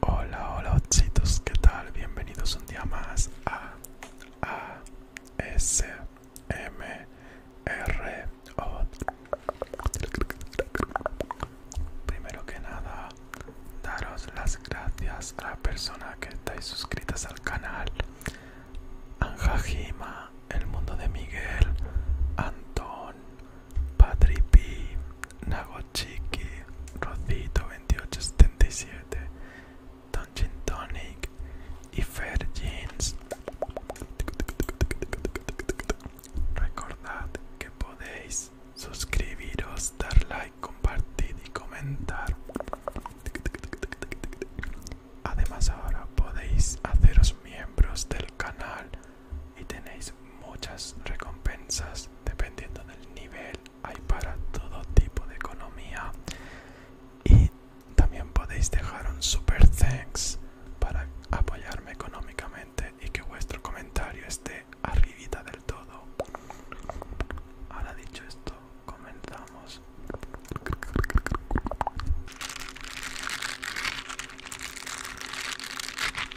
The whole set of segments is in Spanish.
Hola, hola, chicos. ¿qué tal? Bienvenidos un día más a A S M R Primero que nada, daros las gracias a la persona que estáis suscritas al canal. Anja El Mundo de Miguel, Antón, Patri P, Nagochiki, Rocito2877, Dungeon Tonic y Fair Jeans. Recordad que podéis suscribiros, dar like, compartir y comentar. Además ahora podéis haceros miembros del canal y tenéis muchas recompensas dependiendo del nivel hay para todo tipo de economía y también podéis dejar un super thanks para apoyarme económicamente y que vuestro comentario esté arribita del todo ahora dicho esto comenzamos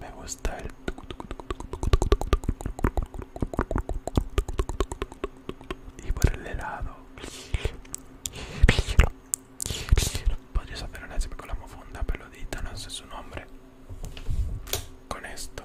Me gusta el y por el helado. Podrías hacer una con la mofunda peludita, no sé su nombre. Con esto.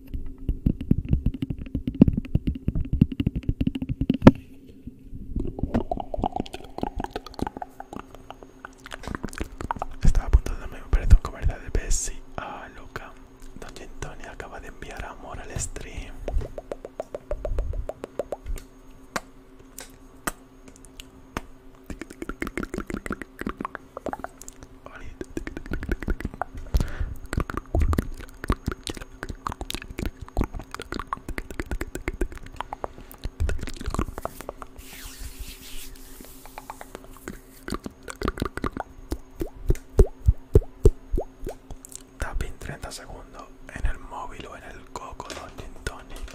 Estaba a punto de darme un con comercial de Bessie ¡ah, Luca. Don Antonio acaba de enviar amor al stream. Tapping 30 segundos en el móvil o en el coco de tonic.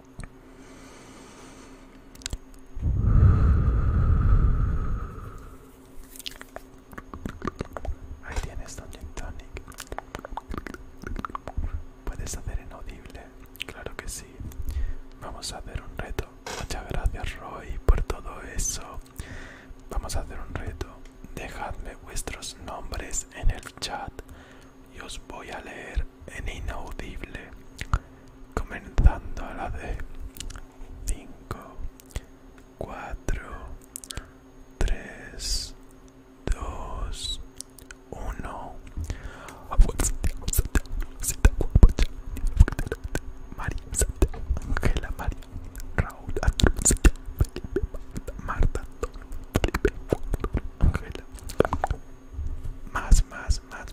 Ahí tienes Dungeon Tonic. ¿Puedes hacer inaudible? Claro que sí. Vamos a hacer un reto. Muchas gracias Roy por todo eso. Vamos a hacer un reto. Dejadme vuestros nombres en el chat y os voy a leer en inaudible, comenzando a la de 5, 4, 3, 2, 1. Marta, Más, más, más,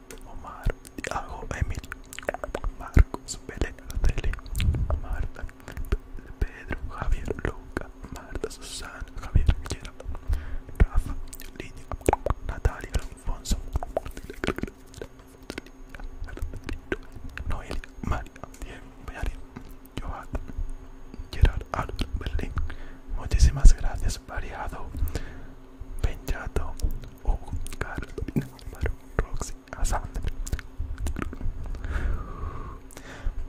Omar, Diago, Emil, Marcos, Belén, Araceli, Marta, Pedro, Javier, Luca, Marta, Susana, Javier, Gerard, Rafa, Lidia, Natalia, Alfonso, Noelia, María, Diego, María, Johan, Gerard, Álvaro, Berlín. Muchísimas gracias, Variado, Benjato, Oh, Carolina, Álvaro, Roxy, Asander,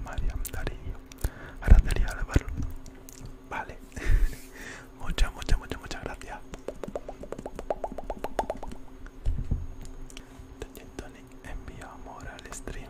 María, Darío, Araceli, Álvaro. Vale, muchas, muchas, muchas, muchas gracias. Tony envía amor al stream.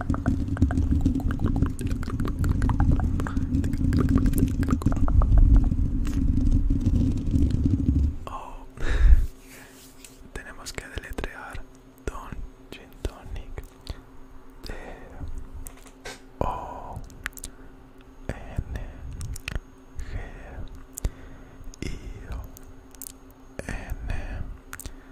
Oh, tenemos que deletrear Tonic D eh, O N G I N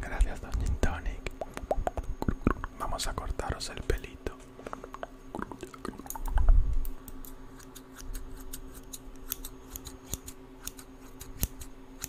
Gracias, Don Tonic. Vamos a cortaros el pelito.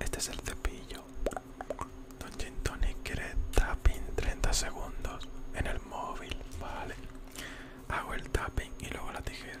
Este es el cepillo. Don Gintoni quiere tapping 30 segundos en el móvil. Vale. Hago el tapping y luego la tijera.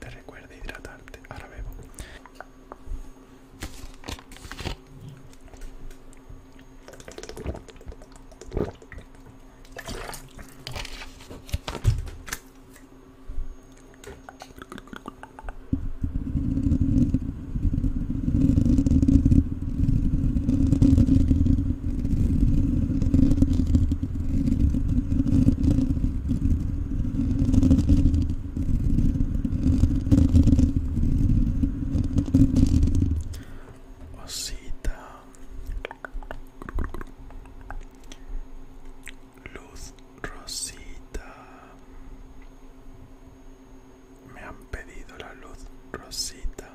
Te recuerda hidratarte. Ahora bebo. Rosita, Luz Rosita Me han pedido la luz Rosita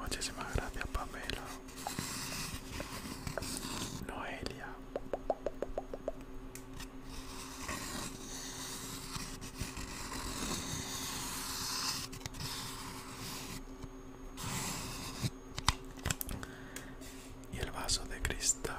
Muchísimas gracias Pamela. Noelia. Y el vaso de cristal.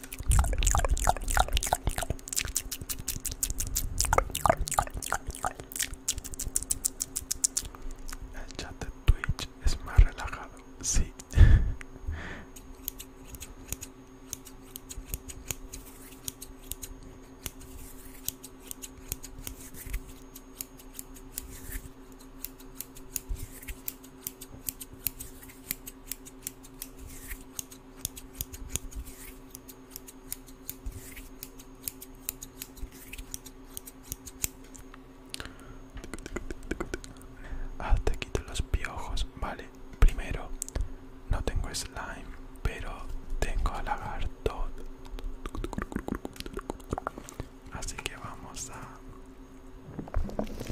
El chat de Twitch es más relajado, sí. Ah, te quito los piojos, vale. Primero, no tengo slime, pero tengo lagarto. Así que vamos a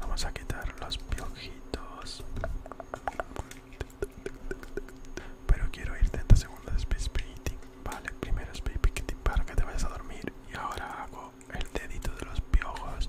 Vamos a quitar los piojitos. Pero quiero ir 30 segundos de space breathing, Vale, primero space breathing, para que te vayas a dormir. Y ahora hago el dedito de los piojos.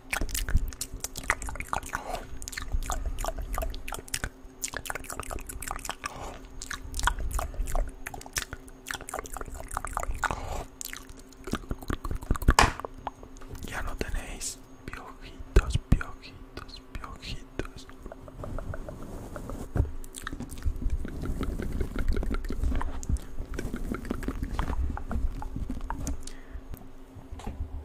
Ya no tenéis piojitos, piojitos, piojitos.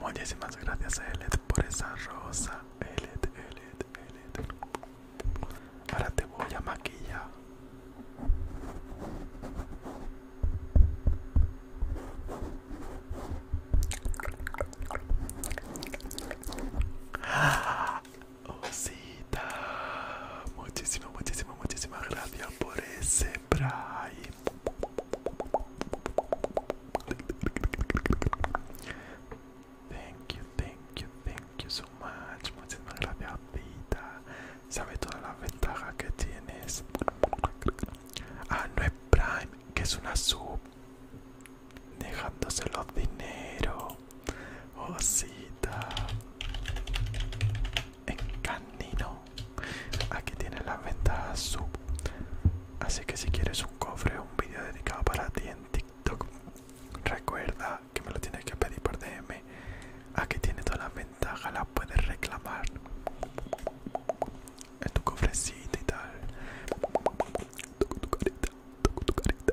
Muchísimas gracias Elet por esa rosa. Elet, Elet, Elet. Ahora te voy a maquillar. Osita, muchísimas, muchísimas, muchísimas gracias por ese prime. Thank you, thank you, thank you so much. Muchísimas gracias, Osita. Sabe todas las ventajas que tienes? Ah, no es prime, que es una sub dejándose los dinero osita en canino aquí tienes las ventajas sub así que si quieres un cofre un vídeo dedicado para ti en tiktok recuerda que me lo tienes que pedir por dm aquí tienes todas las ventajas las puedes reclamar en tu cofrecito y tal toco tu carita toco tu carita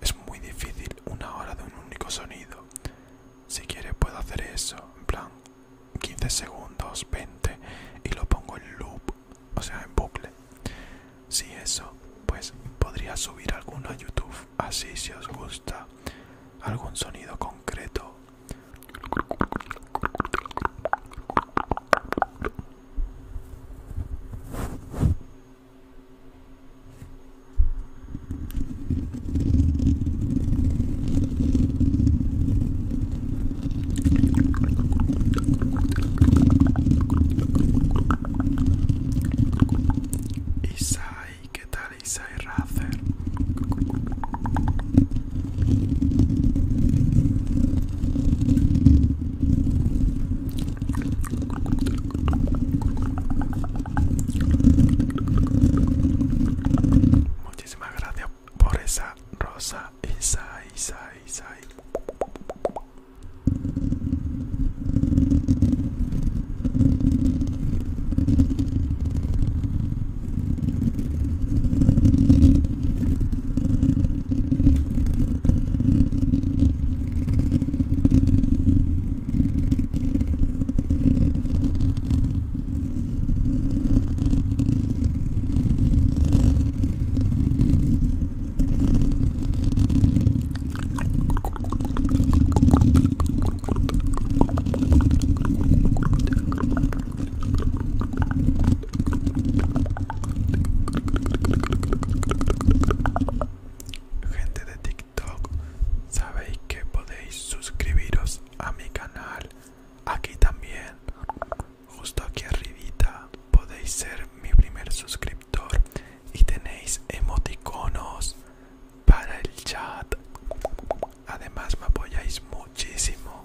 es muy difícil una hora de un único sonido. Si quieres puedo hacer eso, en plan 15 segundos, 20 y lo pongo en loop o sea en bucle si eso pues podría subir alguno a youtube así si os gusta algún sonido concreto Isai, ¿qué tal Isai Razer? Muchísimas gracias por esa rosa, Isai, Isai, Gente de TikTok, sabéis que podéis suscribiros a mi canal aquí también justo aquí arribita podéis ser mi primer suscriptor y tenéis emoticonos para el chat además me apoyáis muchísimo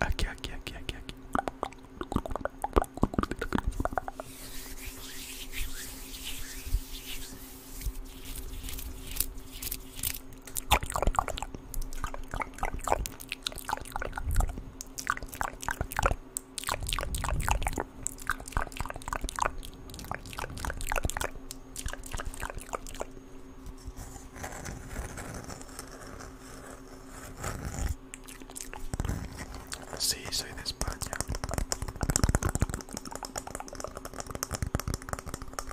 aquí aquí aquí aquí aquí Sí, soy de España.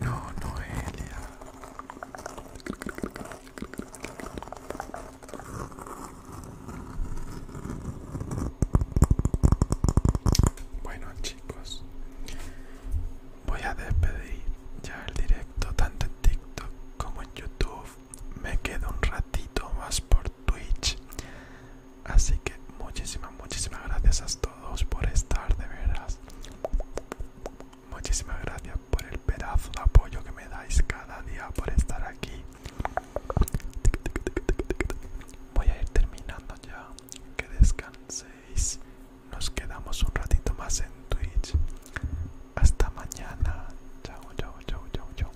No, Noelia. Bueno chicos, voy a despedir ya el directo tanto en TikTok como en YouTube. Me quedo un ratito más por Twitch Así que muchísimas, muchísimas gracias a todos por estar de veras. Muchísimas gracias por el pedazo de apoyo que me dais cada día por estar aquí. Voy a ir terminando ya. Que descanséis. Nos quedamos un ratito más en Twitch. Hasta mañana. Chao, chao, chao, chao, chao.